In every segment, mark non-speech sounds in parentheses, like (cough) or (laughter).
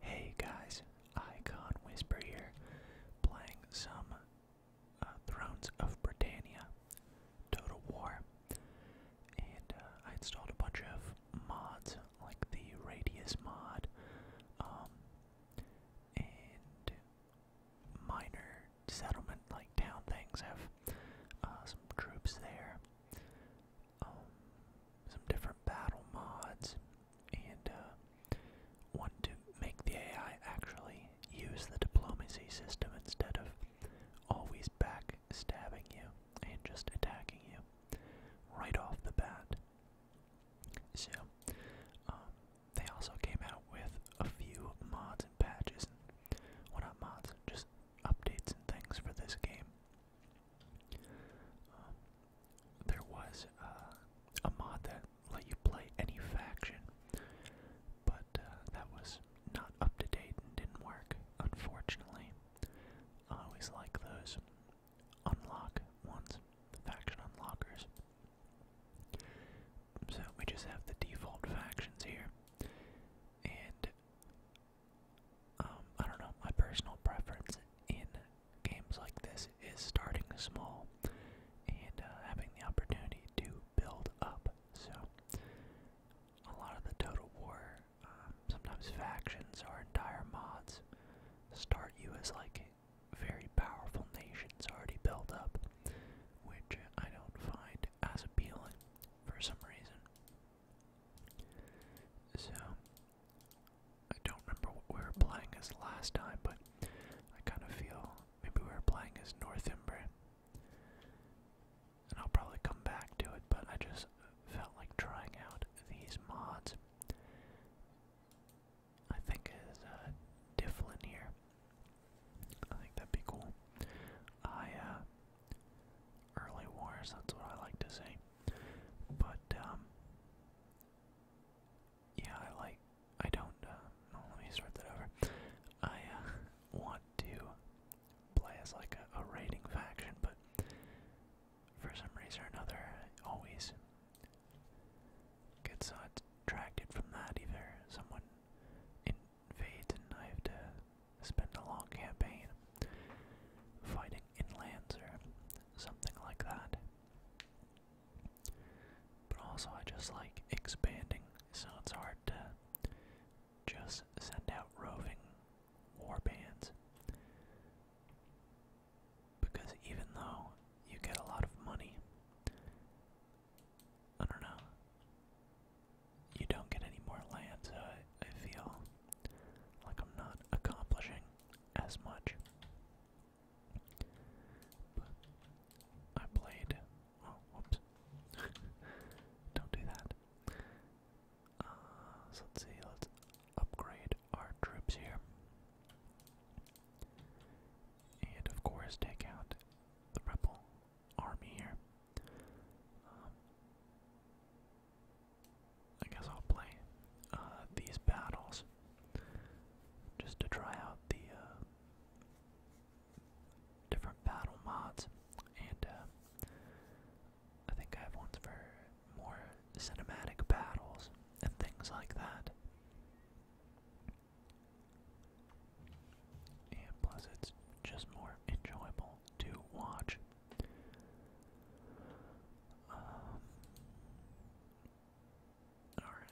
Hey guys, Icon Whisper here, playing some uh, Thrones of Britannia Total War. And uh, I installed a bunch of mods, like the Radius mod, um, and minor settlement, like town things have uh, some troops there. Um, some different battle mods, and uh, one to make the AI actually use the diplomacy system instead of always backstabbing you and just attacking you right off the bat. So, um, they also came out with a few mods and patches, and, well not mods, just updates and things for this game. Um, there was uh, a mod that let you play any faction, but uh, that was not up to date and didn't work, unfortunately. I always like those unlock ones, the faction unlockers. So we just have the default factions here, and um, I don't know, my personal preference in games like this is starting small and uh, having the opportunity to build up. So, a lot of the Total War, um, sometimes factions or entire mods, start you as like very powerful nations already built up, which I don't find as appealing for some reason. So, I don't remember what we were playing as last time, but I kind of feel maybe we were playing as Northumbria. And I'll probably come back to it, but I just felt like trying out these mods. I think is uh, here. I think that'd be cool. I, uh, early wars, that's what I like to say. But, um, yeah, I like, I don't, uh, let me start that over. I uh, (laughs) want to play as like a, raiding faction, but for some reason or another, I always get uh, attracted from that. Either someone invades and I have to spend a long campaign fighting inlands, something like that. But also, I just like expanding, so it's hard to just send out roving warbands. Because even though you get a lot of money, I don't know, you don't get any more land, so I, feel like I'm not accomplishing as much. I played. Oh, whoops. (laughs) Don't do that. Uh, so let's see, let's upgrade our troops here. And of course, take out the rebel army here. Um, I guess I'll play uh, these battles just to try out the uh, different battle mods, and uh, I think I have ones for more cinematic battles and things like that. And plus, it's just more enjoyable to watch. Um, Alright,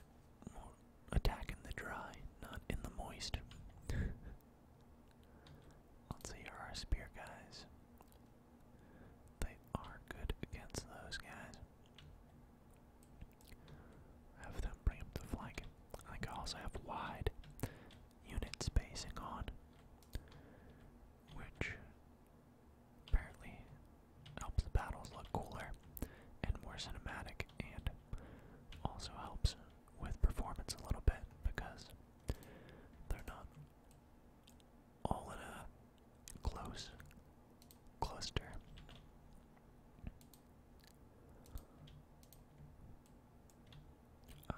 we the dry, not in the moist. (laughs) Let's see, our spear guys. They are good against those guys. Have them bring up the flank. I also have wide unit spacing on, which Apparently, helps the battles look cooler and more cinematic, and also helps with performance a little bit because they're not all in a close cluster. Uh,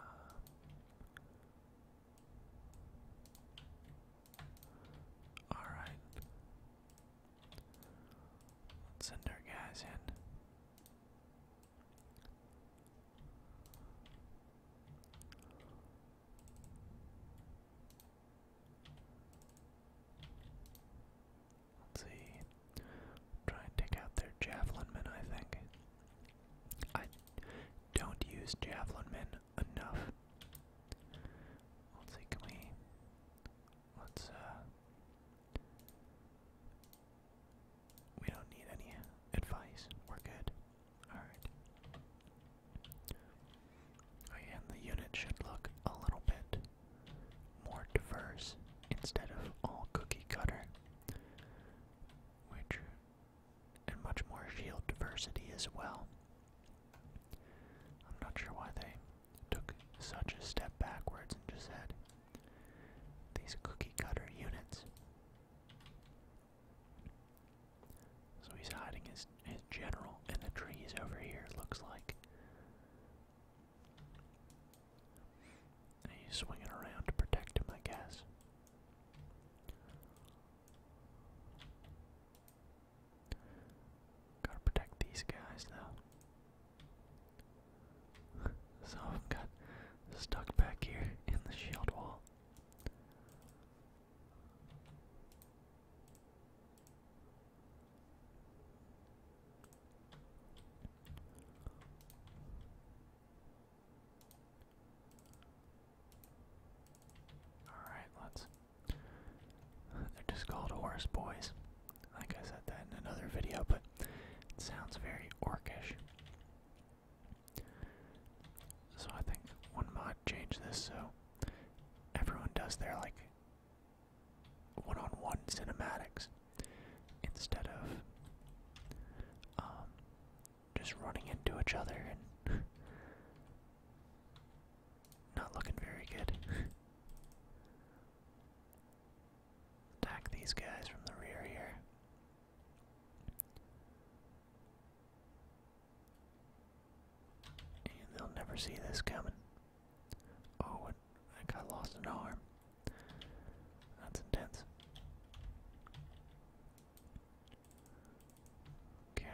Alright. Let's send our guys in. Let's see. Try and take out their javelin men, I think. I don't use javelin men enough. Let's see, can we, let's, uh, we don't need any advice, we're good. Alright. Oh and the unit should look a little bit more diverse instead of all cookie cutter, which and much more shield diversity as well. I'm not sure why they took such a step backwards and just had these cookie cutter units. So he's hiding his his general in the trees over here, looks like. he's swinging around to protect him, I guess. Gotta protect these guys though. (laughs) so I've got stuck back here in the shield wall. Alright, let's. (laughs) They're just called horse boys. Like I said that in another video, but it sounds very orcish. So I think one mod change this so everyone does their like one on one cinematics instead of um, just running into each other and (laughs) Not looking very good. (laughs) Attack these guys from the rear here. And they'll never see this coming. Oh, and I got lost an arm. That's intense. Okay.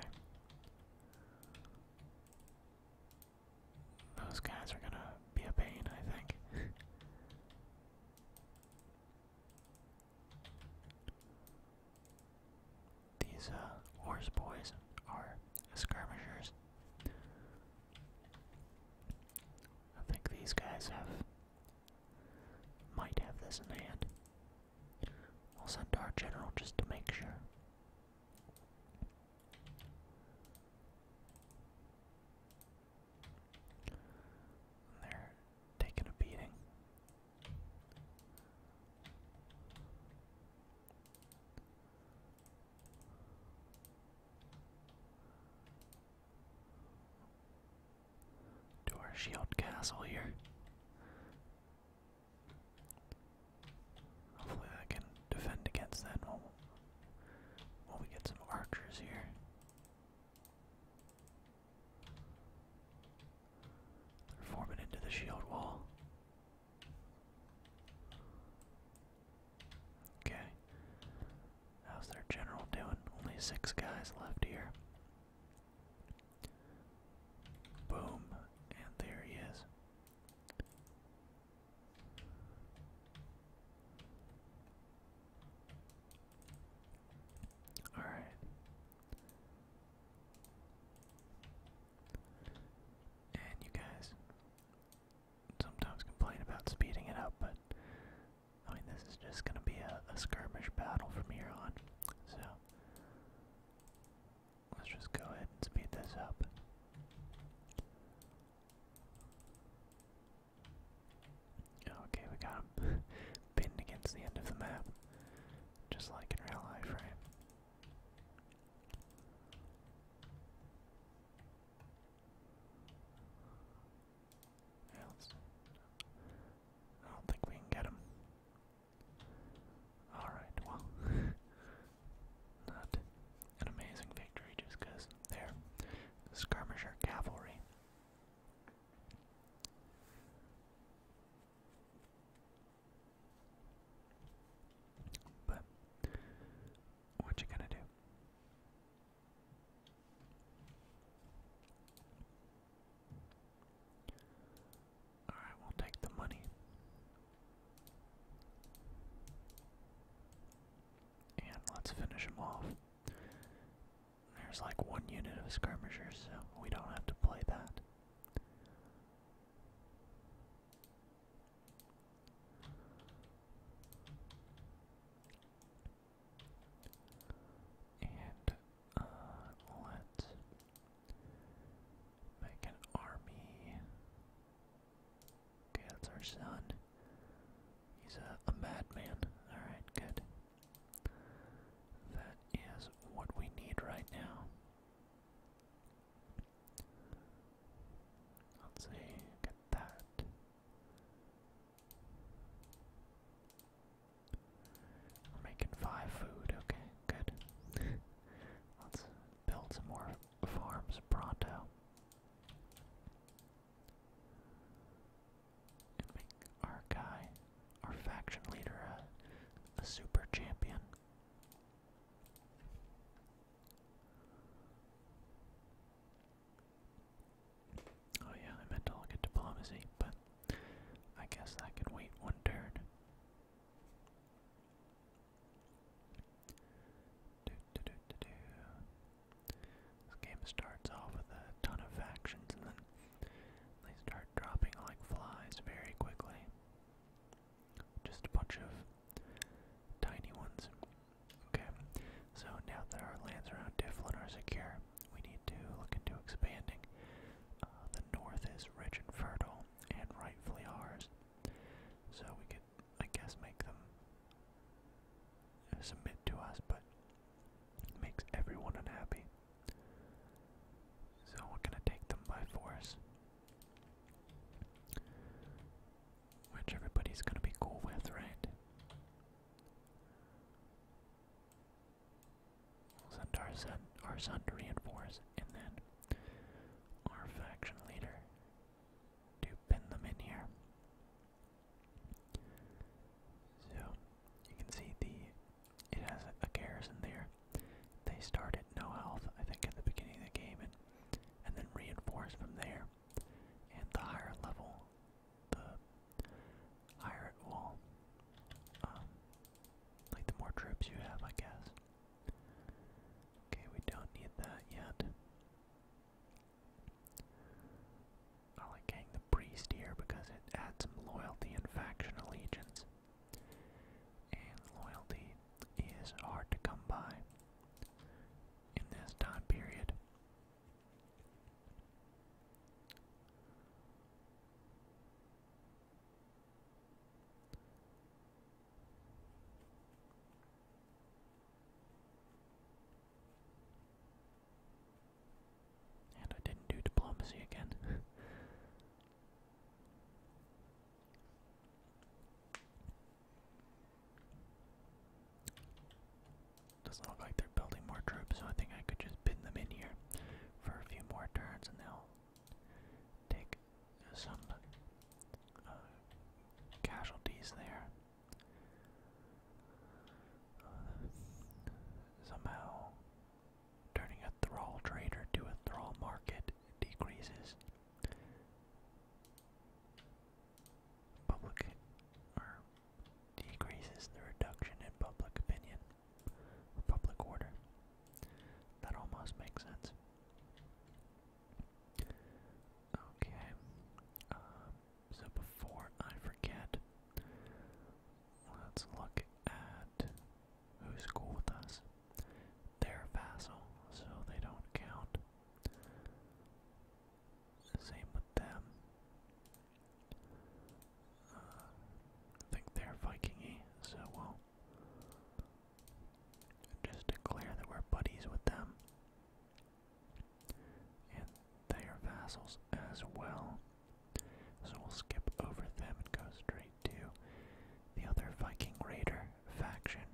Those guys are gonna be a pain, I think. These uh, horse boys are skirmishers. I think these guys have might have this in hand. I'll send our general just to make sure. they're taking a beating. To our shield castle here. Hopefully I can defend against that while, we get some archers here. They're forming into the shield wall. Okay. How's their general doing? Only six guys left here. Boom, and there he is. All right. And you guys sometimes complain about speeding it up, but I mean, this is just going to be a, skirmish battle from here on. So, Let's just go ahead and speed this up. Okay, we got him pinned (laughs) against the end of the map, just like in real life, right? I don't think we can get him. Alright, well, (laughs) not an amazing victory just they're skirmisher cavalry. But what you gonna do? Alright, we'll take the money. And let's finish them off. There's like one unit of skirmishers, so we don't have to play that. And uh, let's Make an army. Okay, that's our son. He's a, madman. Alright, good. That is what we need right now. Let's see, get that. We're making five food, okay, good. (laughs) Let's build some more farms pronto. make our guy, our faction leader, a, super champion. Oh yeah, I meant to look at diplomacy, but I guess that could wait one turn. This game starts off with a ton of factions and then they start dropping like flies very quickly. Just a bunch of tiny ones. Okay, so now that our lands around Diflin are secure, we need to look into expanding. Uh, the north is rich and fertile and rightfully ours. So we could, I guess, make them uh, submit to us, but it makes everyone unhappy. So we're gonna take them by force. Which everybody's gonna be cool with, right? Send our son, our son to reinforce, and then our faction leader to pin them in here. So you can see the it has a, garrison there. They start at no health, I think, at the beginning of the game, and and then reinforce from there. And the higher level, the higher it will, um, like the more troops you have, I guess. Okay, we don't need that yet. I like getting the priest here because it adds some loyalty and faction allegiance. And loyalty is hard to come by in this time period. And I didn't do diplomacy again. (laughs) Doesn't look like they're building more troops, so I think I could just bin them in here for a few more turns and they'll take some uh, casualties there. somehow, turning a thrall trader to a thrall market decreases public or decreases the reduction in public opinion or public order. That almost makes sense. Okay. Um, so before I forget, let's look at who's cool with us. They're vassal, so they don't count. Same with them. Uh, I think they're Vikingy, so we'll just declare that we're buddies with them. And they are vassals as well. So we'll skip over them and go straight to the other Viking Raider faction.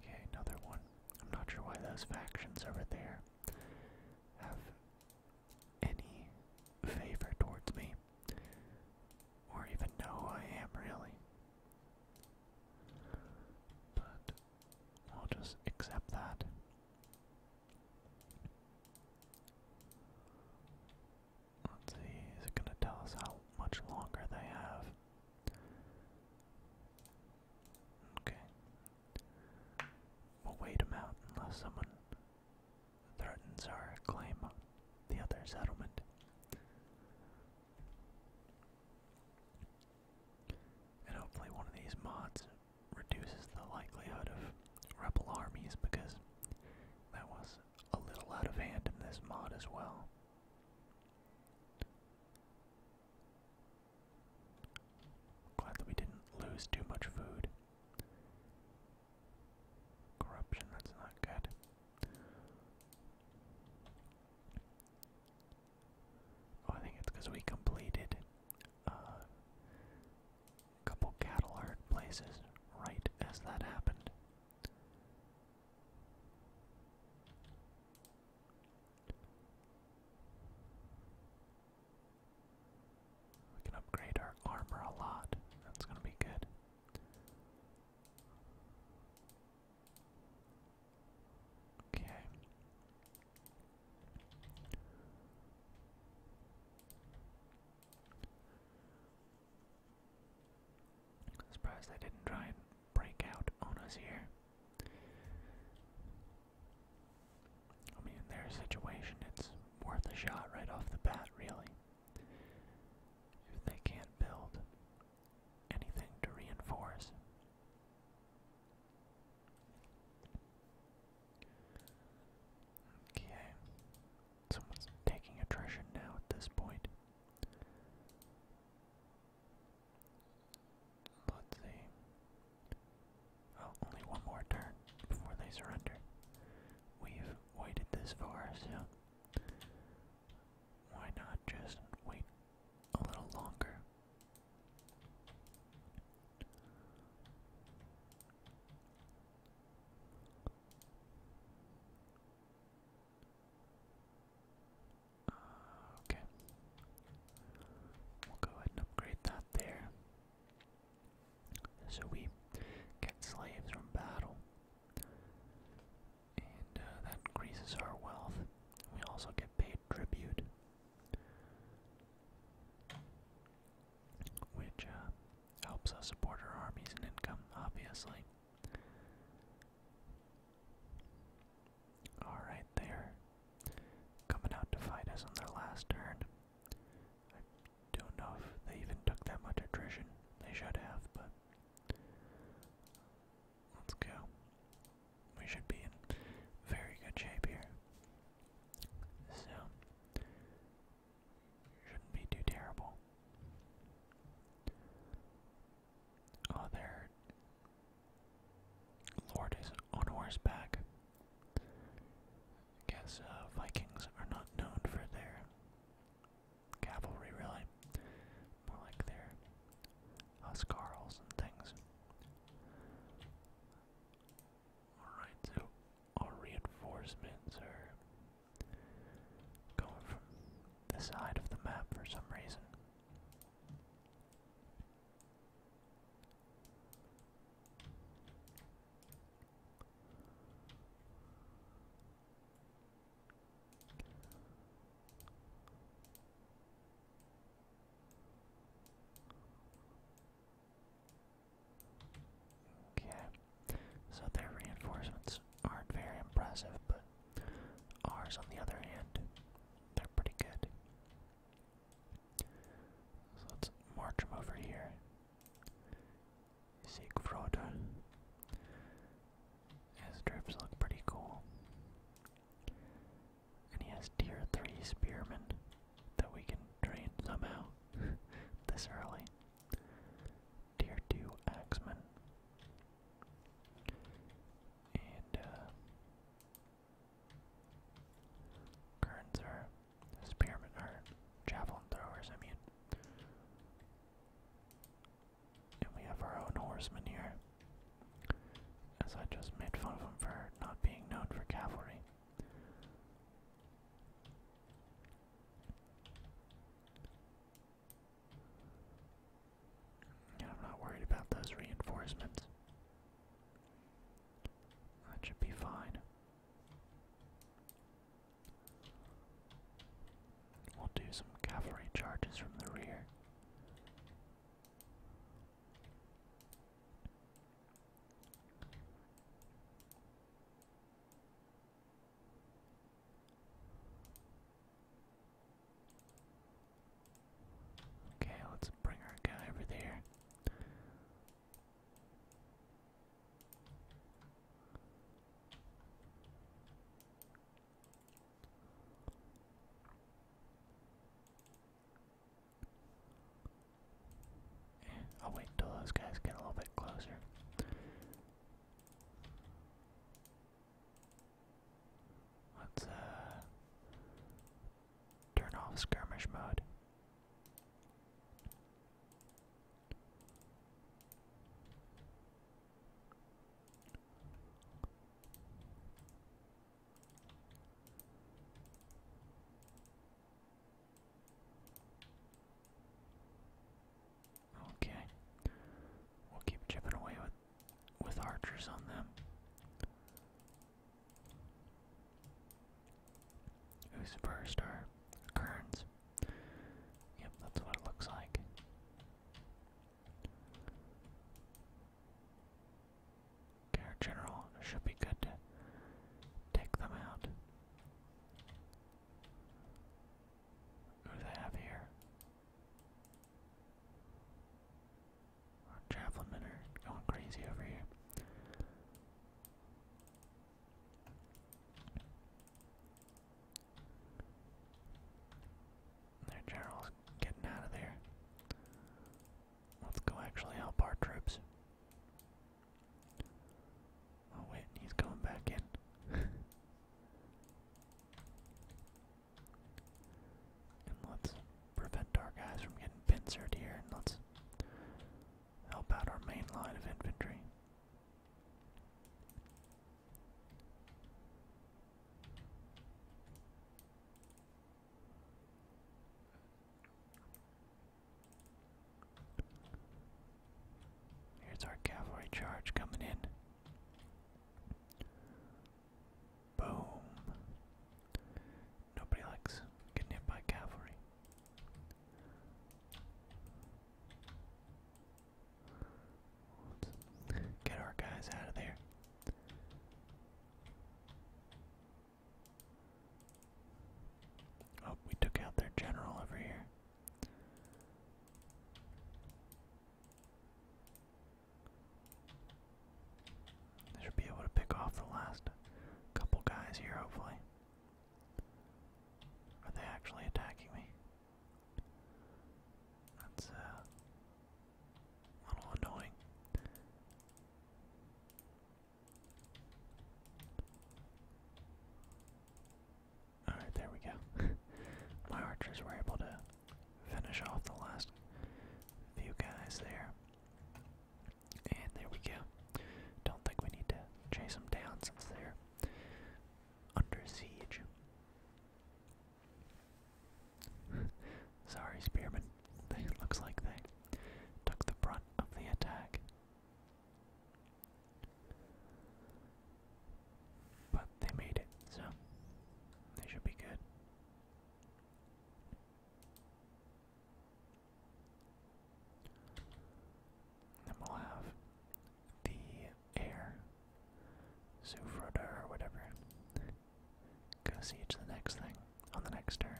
Okay, another one. I'm not sure why those factions over there have any favor towards me, or even know who I am, really. But we'll just accept that. Let's see, is it going to tell us how much longer they have? Okay. We'll wait them out unless someone threatens our claim on the other settlement. And hopefully one of these mods reduces the likelihood of rebel armies because that was a little out of hand in this mod as well. Glad that we didn't lose too much food. Corruption, that's not good. Oh, I think it's because we completed uh, a couple cattle herd places right as that happened. We can upgrade our armor a lot. That's going to be good. Okay. Surprised they didn't try and break out on us here. I mean, in their situation, it's worth a shot right off the bat, really. If they can't build anything to reinforce. Okay. Someone's taking attrition now at this point. Let's see. Oh, only one more turn before they surrender. We've waited this far, so why not just wait a little longer? okay. We'll go ahead and upgrade that there. So we get slaves from battle, and uh, that increases our wealth. We also get paid tribute, which uh, helps us support our armies and income, obviously. Alright, they're coming out to fight us on their last turn. Don't know if they even took that much attrition. They should have, but let's go. We should be in very good shape here. So shouldn't be too terrible. Oh, their Lord is on horseback. I guess uh, Vikings are not known for their cavalry, really. More like their huscarls and things. Alright, so our reinforcements are going from the side of the map for some reason. Okay, so their reinforcements aren't very impressive, but ours, on the other hand, they're pretty good. So let's march them over here. Siegfried. His troops look pretty cool. And he has tier 3 spearmen that we can train somehow (laughs) this early. Tier 2 axemen. And, uh. Spearmen or javelin throwers, I mean. And we have our own horseman here. As I just made fun of him for not being known for cavalry. I'm not worried about those reinforcements. That should be fine. We'll do some cavalry charges from the rear. Okay, let's bring our guy over there. I'll wait until those guys get a little bit closer. Let's uh, turn off skirmish mode. Okay. We'll keep chipping away with with archers on them. Who's first or Kearns? Yep, that's what it looks like. Okay, general should be good take them out. Who do they have here? javelin men going crazy over here. Their general's getting out of there. Let's go actually help our troops. Oh wait, he's going back in. (laughs) and let's prevent our guys from getting pincered here and let's help out our main line of infantry. Here's our cavalry charge coming in. Boom. Nobody likes getting hit by cavalry get our guys out of there. Oh, we took out their general over here. should be able to pick off the last couple guys here, hopefully. Are they actually attacking me? That's uh, a little annoying. Alright, there we go. (laughs) My archers were able to finish off the last few guys there. And there we go. Don't think we need to chase them down since they're under siege. (laughs) Sorry, Spearman. looks like they took the brunt of the attack. But they made it, so they should be good. Then we'll have the air, Zufroda whatever, go siege the next thing on the next turn.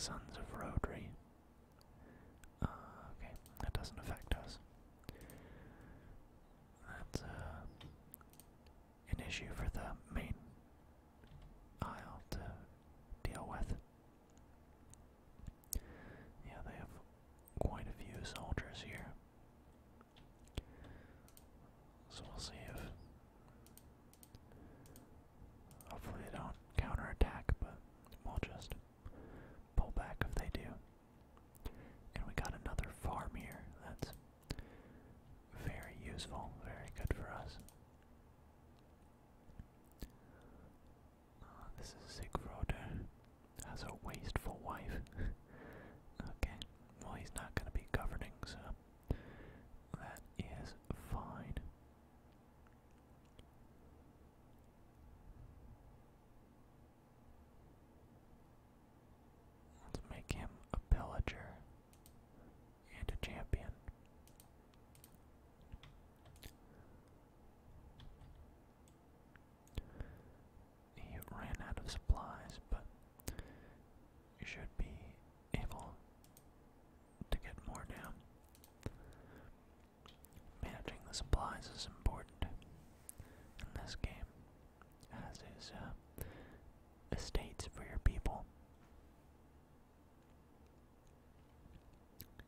Sons of Rodri. Uh, okay, that doesn't affect us. That's uh, an issue for the main aisle to deal with. Yeah, they have quite a few soldiers here. So we'll see if. Hopefully they don't counterattack, but we'll just pull back if they do. And we got another farm here. That's very useful, very good for us. Ah, this is Sigfroder. Has a wasteful wife. (laughs) okay. Well, he's not going to be governing, so that is fine. Let's make him a pillager and a champion. He ran out of supplies, but should be able to get more down. Managing the supplies is important in this game, as is uh, estates for your people.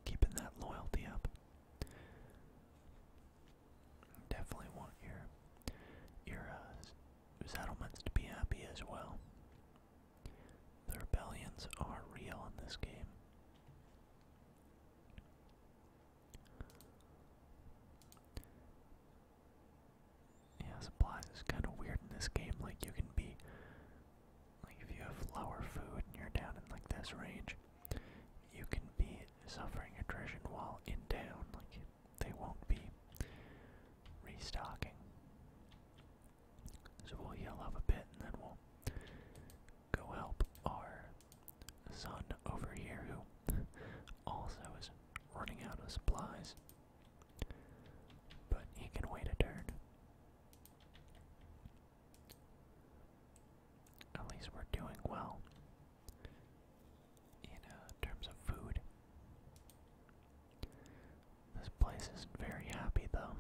Keeping that loyalty up. Definitely want your your uh, settlements to be happy as well. The rebellions are real in this game. Yeah, supply is kind of weird in this game. Like you can be like if you have lower food and you're down in like this range, you can be suffering attrition while in down. Like they won't be restocking. So we'll heal up a bit and then we'll go help our son over here who (laughs) also is running out of supplies. But he can wait a turn. At least we're doing well in uh, terms of food. This place isn't very happy though.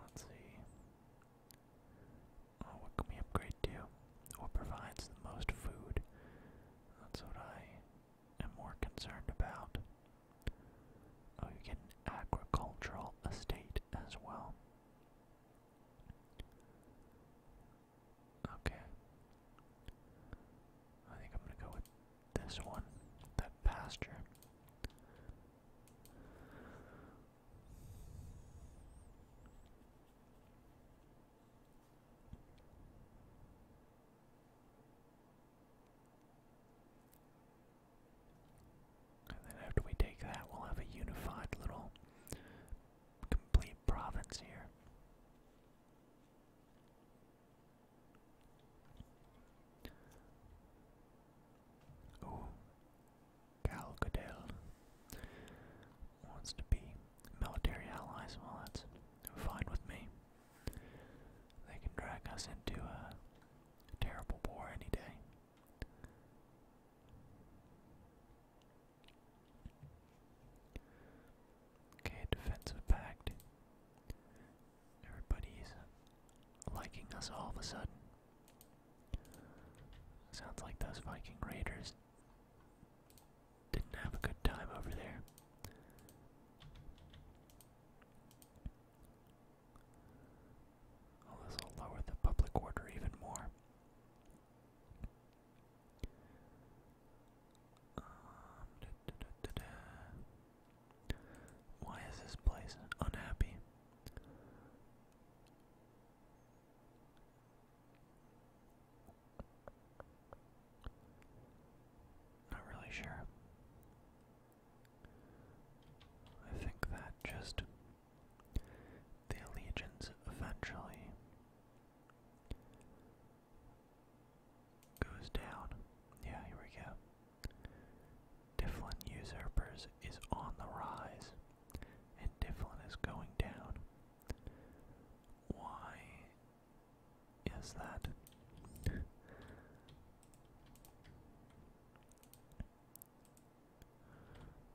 Let's see. Oh, what can we upgrade to? What provides the most food? That's what I am more concerned about. Oh, you get an agricultural estate as well. Okay. I think I'm going to go with this one, that pasture. And then after we take that, we'll have a unified little complete province here. Oh, Gal wants to be military allies, well, that's fine with me. They can drag us into a terrible war any day. Okay, defensive pact. Everybody's uh, liking us all of a sudden. Sounds like those Viking Raiders didn't have a good time over there. Oh, this will lower the public order even more. Um, Why is this place unhappy? Not really sure. I think that just the allegiance eventually goes down. Yeah, here we go. Difflin usurpers is on the rise, and Difflin is going down. Why Yes, that.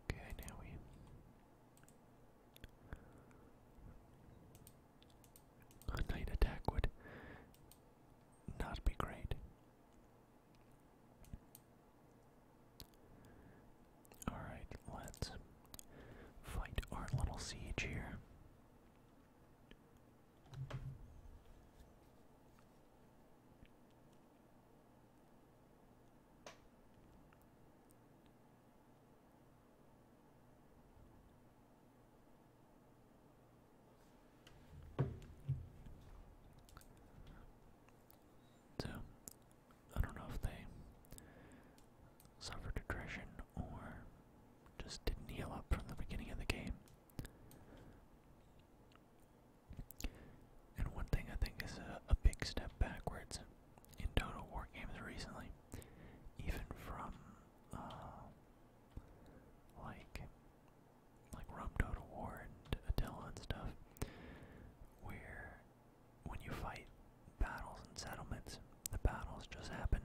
okay, now we. A night attack would not be great. Alright, let's fight our little siege here. So, I don't know if they suffered attrition or just didn't heal up from the beginning of the game. And one thing I think is a, big step backwards in Total War games recently, even from uh, like like Rome Total War and Attila and stuff, where when you fight battles and settlements. The battles just happen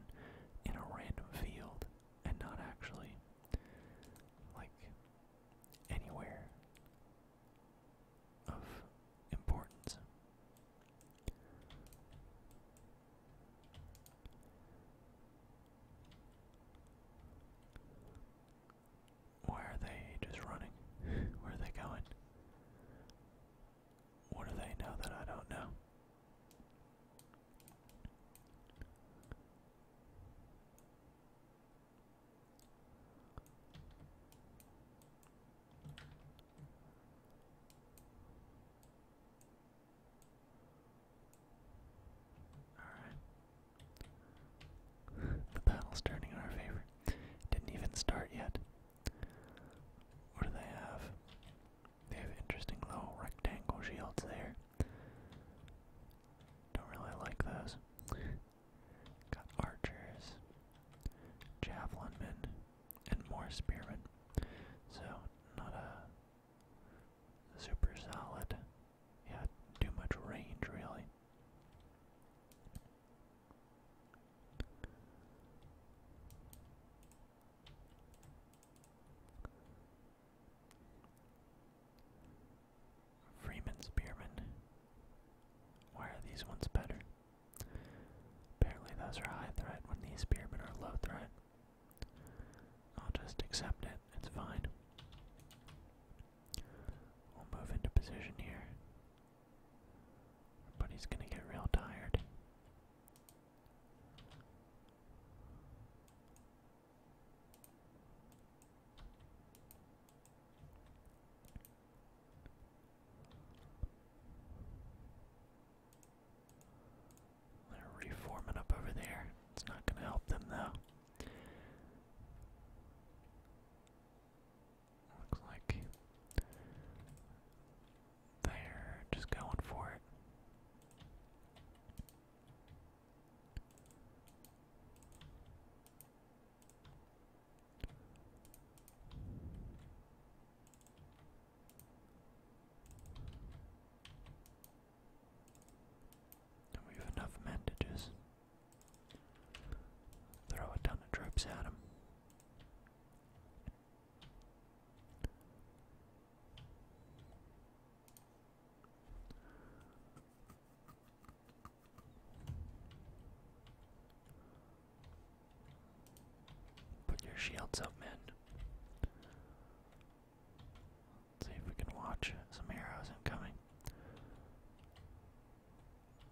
in a random field and not actually like anywhere of importance. Why are they just running? Where are they going? What do they know that I don't know? (laughs) the battle's turning in our favor. Didn't even start yet. What do they have? They have interesting little rectangle shields there. Don't really like those. Got archers, javelin men, and more spearmen. So not a super solid. Yeah, too much range really. Freeman Spearman. Why are these ones better? Apparently those are high threat when these spearmen are low threat. I'll just accept it, it's fine. We'll move into position here. Everybody's gonna get real tired reforming up over there. It's not going to help them though. Looks like they're just going for it. we have enough men throw a ton of troops at him. Put your shields up, men. see if we can watch some arrows incoming.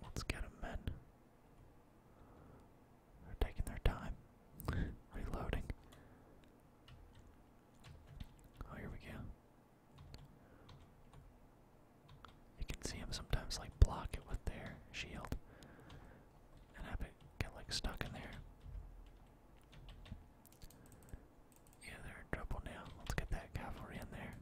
Let's get men. They're taking their time. Reloading. Oh, here we go. You can see him sometimes like block it with their shield and have it get like stuck in there. Yeah, they're in trouble now. Let's get that cavalry in there.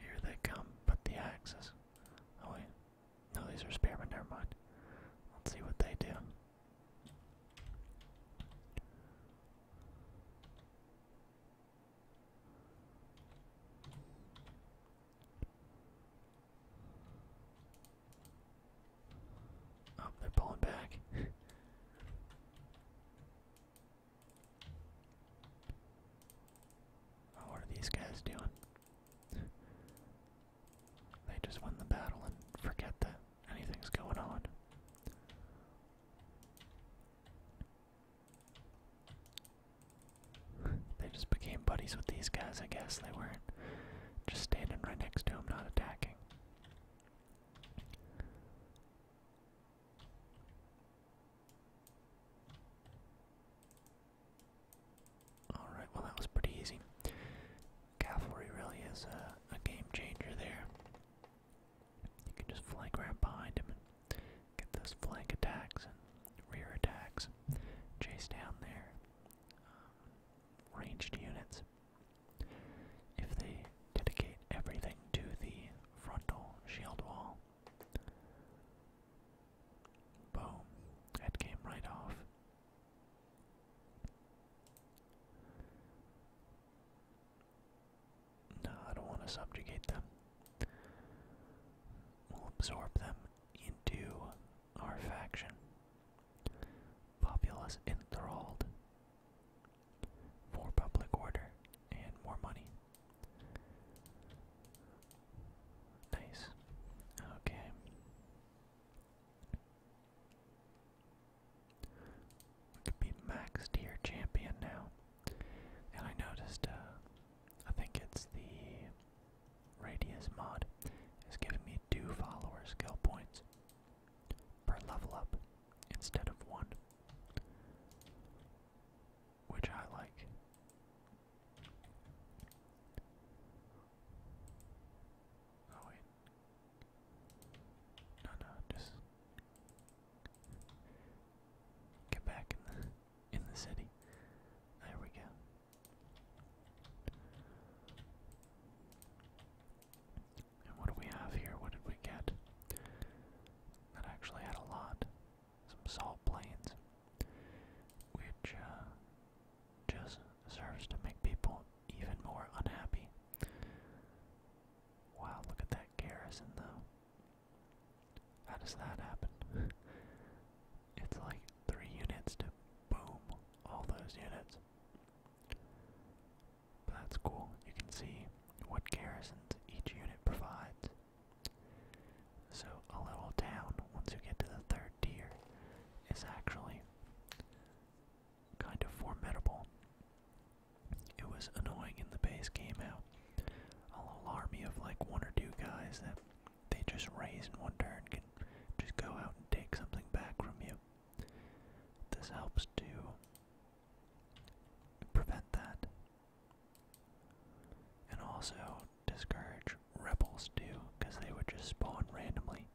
Here they come, but the axes. Oh wait, no, these are spearmen. Never mind. Let's see what they do. Oh, they're pulling back. (laughs) Oh, what are these guys doing? (laughs) they just won the battle and forget that anything's going on. (laughs) they just became buddies with these guys, I guess. They weren't just standing right next to him, not attacking. Alright, well, that was pretty easy. Cavalry really is a, game changer there. You can just flank right behind him get those flank attacks and rear attacks, chase down their um, ranged units. If they dedicate everything to the frontal shield wall, boom, that came right off. No, I don't want to subjugate them. We'll absorb them into our faction. Populace enthralled. More public order and more money. Nice. Okay. could be max tier champion now. And I noticed, uh, I think it's the radius mod is giving me two follower skill points per level up instead of one, which I like. Oh wait. No, no, just get back in the city. There we go. And what do we have here? What did we get? That actually had a lot. Some salt plains, which uh, just serves to make people even more unhappy. Wow, look at that garrison though. How does that happen? (laughs) it's like three units to boom all those units. But that's cool. You can see what garrisons each unit provides. So a little town, once you get to the third tier, is actually kind of formidable. It was annoying in the base game how a little army of like one or two guys that they just raise in one turn can just go out and take something back from you. This helps to prevent that. And also discourage rebels too, because they would just spawn randomly,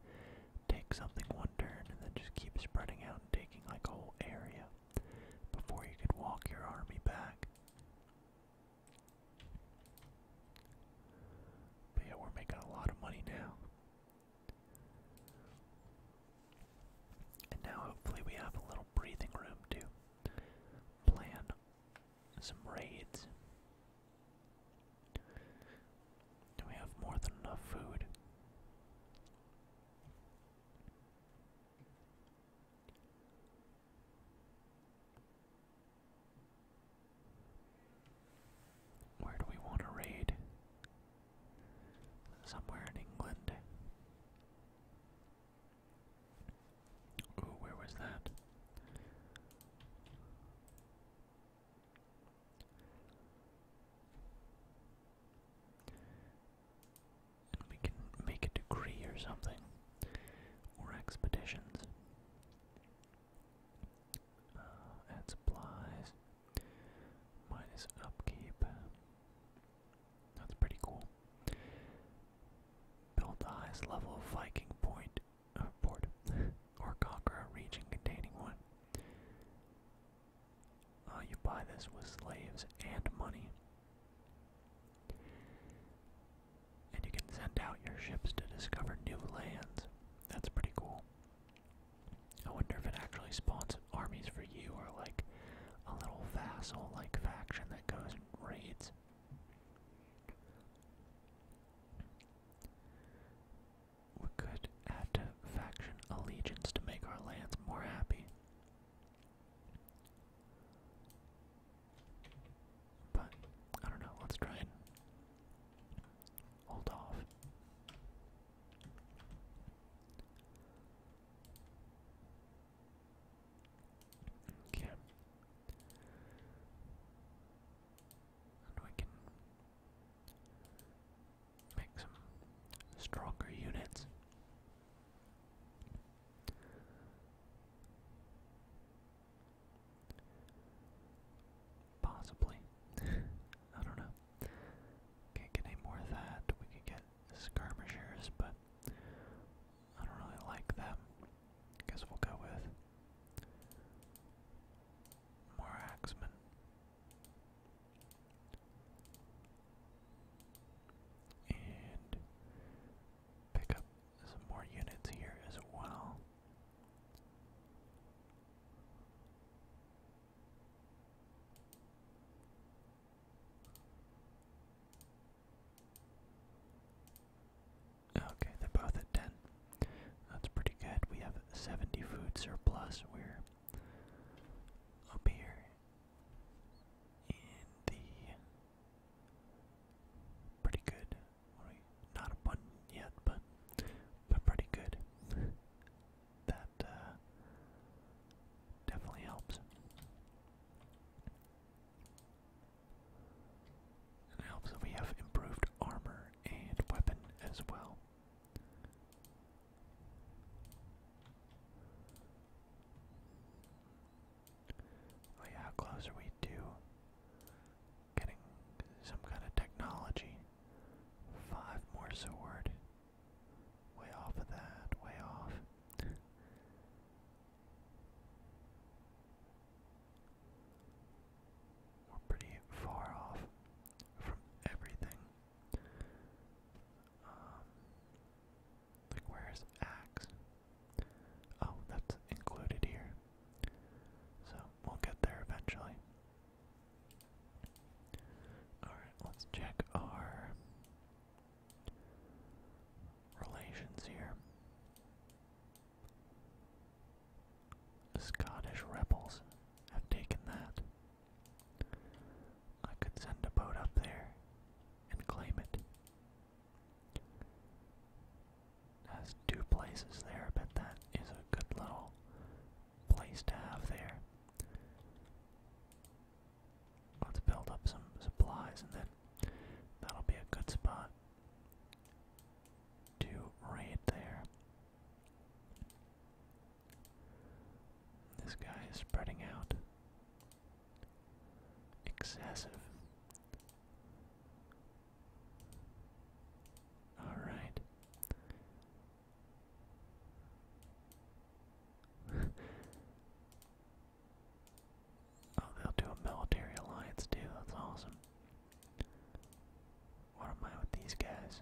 take something one turn, and then just keep spreading out and taking like a whole area before you could walk your army back yeah, we're making a lot of money now. And now hopefully we have a little breathing room to plan some raids. Do we have more than enough food? Where do we want to raid? Somewhere in England. Ooh, where was that? we can make a degree or something, or expeditions. Uh, add supplies, minus upkeep. That's pretty cool. Build the highest level Viking point, uh, (laughs) or conquer a region containing one. Uh, you buy this with slaves and money. And you can send out your ships to discover new lands. That's pretty cool. I wonder if it actually spawns armies for you or like a little vassal like faction that goes and raids. We could add faction allegiance to make our lands more happy. But I don't know, let's try and hold off. Okay. And we can make some stronger units. Possibly. (laughs) I don't know. Can't get any more of that. We could get skirmishers, but I don't really like them. Guess we'll go with more axemen. And pick up some more units here as well. Okay, they're both at 10. That's pretty good. We have 70 food surplus. We're up here in the Pretty good. Right? Not abundant yet, but but pretty good. (laughs) that uh, definitely helps. helps that we have improved armor and weapon as well. Oh how close are we to getting some kind of technology? Five more sword. Way off of that, way off. We're pretty far off from everything. Um, like, where's axe? Oh, that's included here. So, we'll get there eventually. Alright, let's check our relations here. Scottish rebels have taken that. I could send a boat up there and claim it. Has two places there, but that is a good little place to have there. Let's build up some supplies and then that'll be a good spot to raid there. This guy is spreading out. Excessive. All right. (laughs) oh, they'll do a military alliance too. That's awesome. What am I with these guys?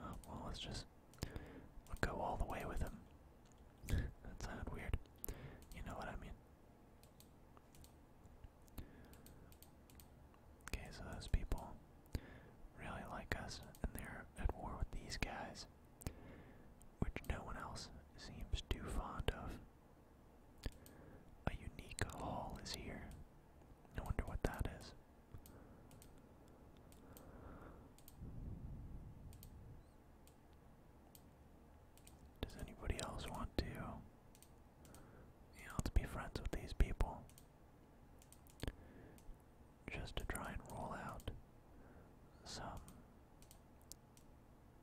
Oh, well, let's just go all the way with him. (laughs) that sounded weird. You know what I mean. Okay, so those people really like us, and they're at war with these guys, which no one else seems too fond of. A unique hall is here, I wonder what that is. Does anybody else want to? Yeah, let's be friends with these people. Just to try and roll out some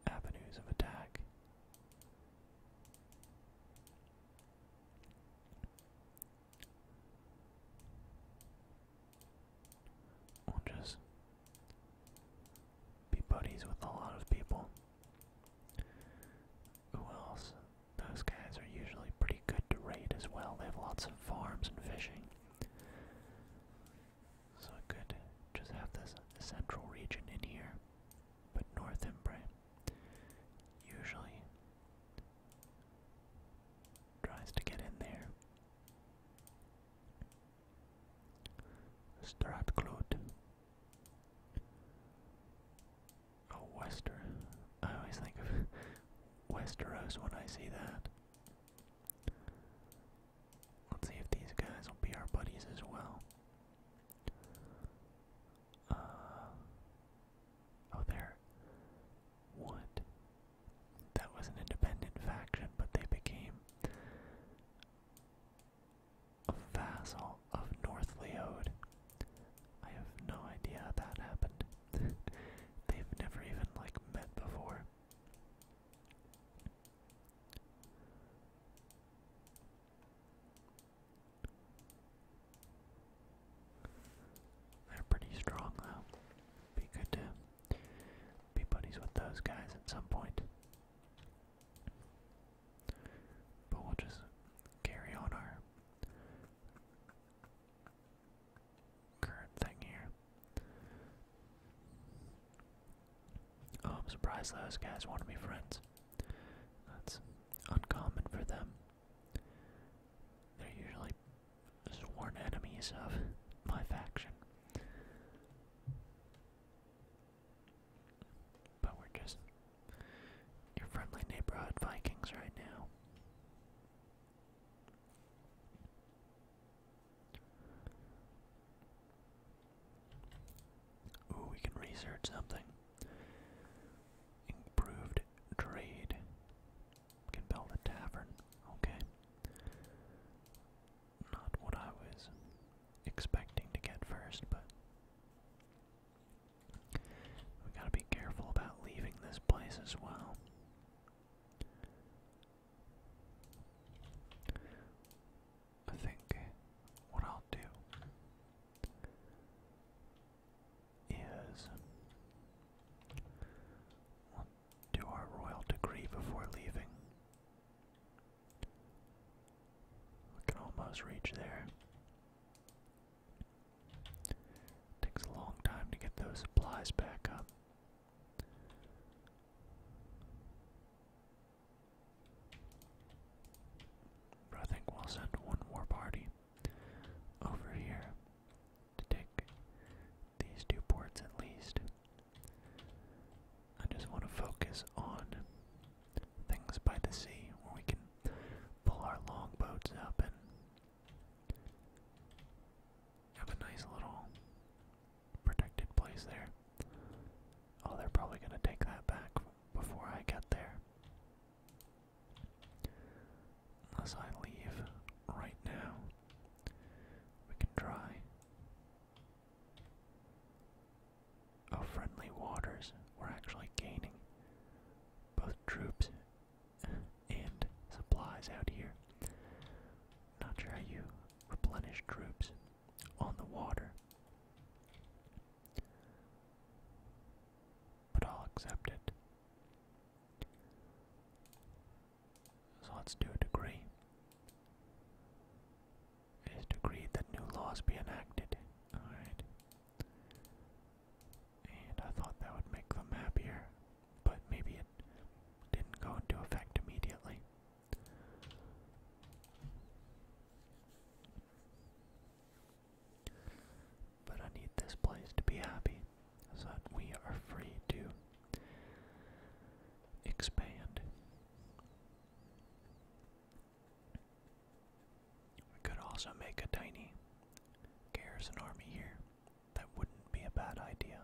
avenues of attack. We'll just be buddies with a lot of people. Who else? Those guys are usually pretty good to raid as well. They have lots of farms and fishing. So I could just have this central region in here, but North Imbre. Usually Tries to get in there. Stratclute. Oh, Wester. I always think of (laughs) Westeros when I see that. Let's see if these guys will be our buddies as well. Uh, oh, there. What? That was an independent faction, but they became a vassal of North Leode. I have no idea how that happened. (laughs) They've never even like met before. They're pretty strong though. Be good to be buddies with those guys at some point. But we'll just carry on our current thing here. Oh, I'm surprised those guys want to be friends. That's uncommon for them. They're usually sworn enemies of my faction. But we're just your friendly neighborhood Vikings right now. Ooh, we can research something. Improved trade can build a tavern. Okay. Not what I was expecting to get first, but we gotta be careful about leaving this place as well. I think what I'll do is do our royal degree before leaving. We can almost reach there. Takes a long time to get those supplies back up. I think we'll send one more party over here to take these two ports at least. I just want to focus on things by the sea where we can pull our longboats up and have a nice little protected place there. Oh, they're probably going to take that back before I get there. Unless I leave right now, we can try. Oh, friendly waters. We're actually gaining both troops and supplies out here. Not sure how you replenish troops on the water. But I'll accept it. So let's do a degree. It is decreed that new laws be enacted. Alright. And I thought that would make them happier, but maybe it didn't go into effect immediately but I need this place to be happy so that we are free to expand. We could also make a tiny garrison army here. That wouldn't be a bad idea.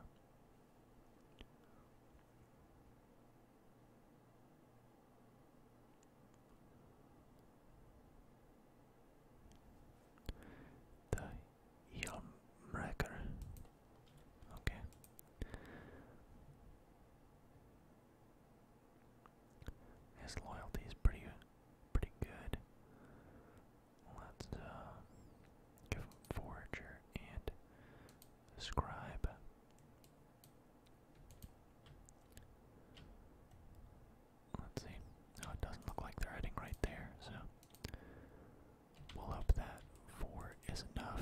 The Yelmrecker. Okay. His loyalty is pretty pretty good. Let's uh, give him Forager and Scribe. Let's see. Oh, it doesn't look like they're heading right there, so we'll hope that four is enough.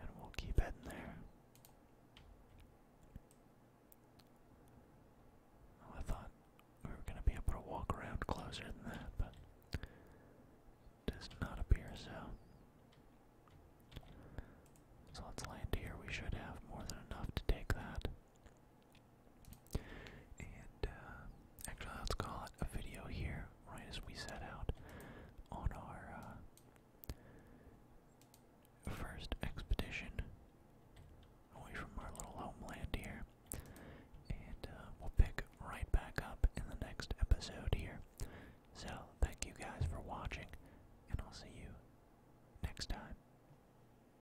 And we'll keep heading there. I thought we were going to be able to walk around closer than that, but it not appear so. So let's land here. We should have more than enough to take that. And uh, actually, let's call it a video here, right as we set out on our uh, first expedition away from our little homeland here. And uh, we'll pick right back up in the next episode here. So, thank you guys for watching, and I'll see you next time.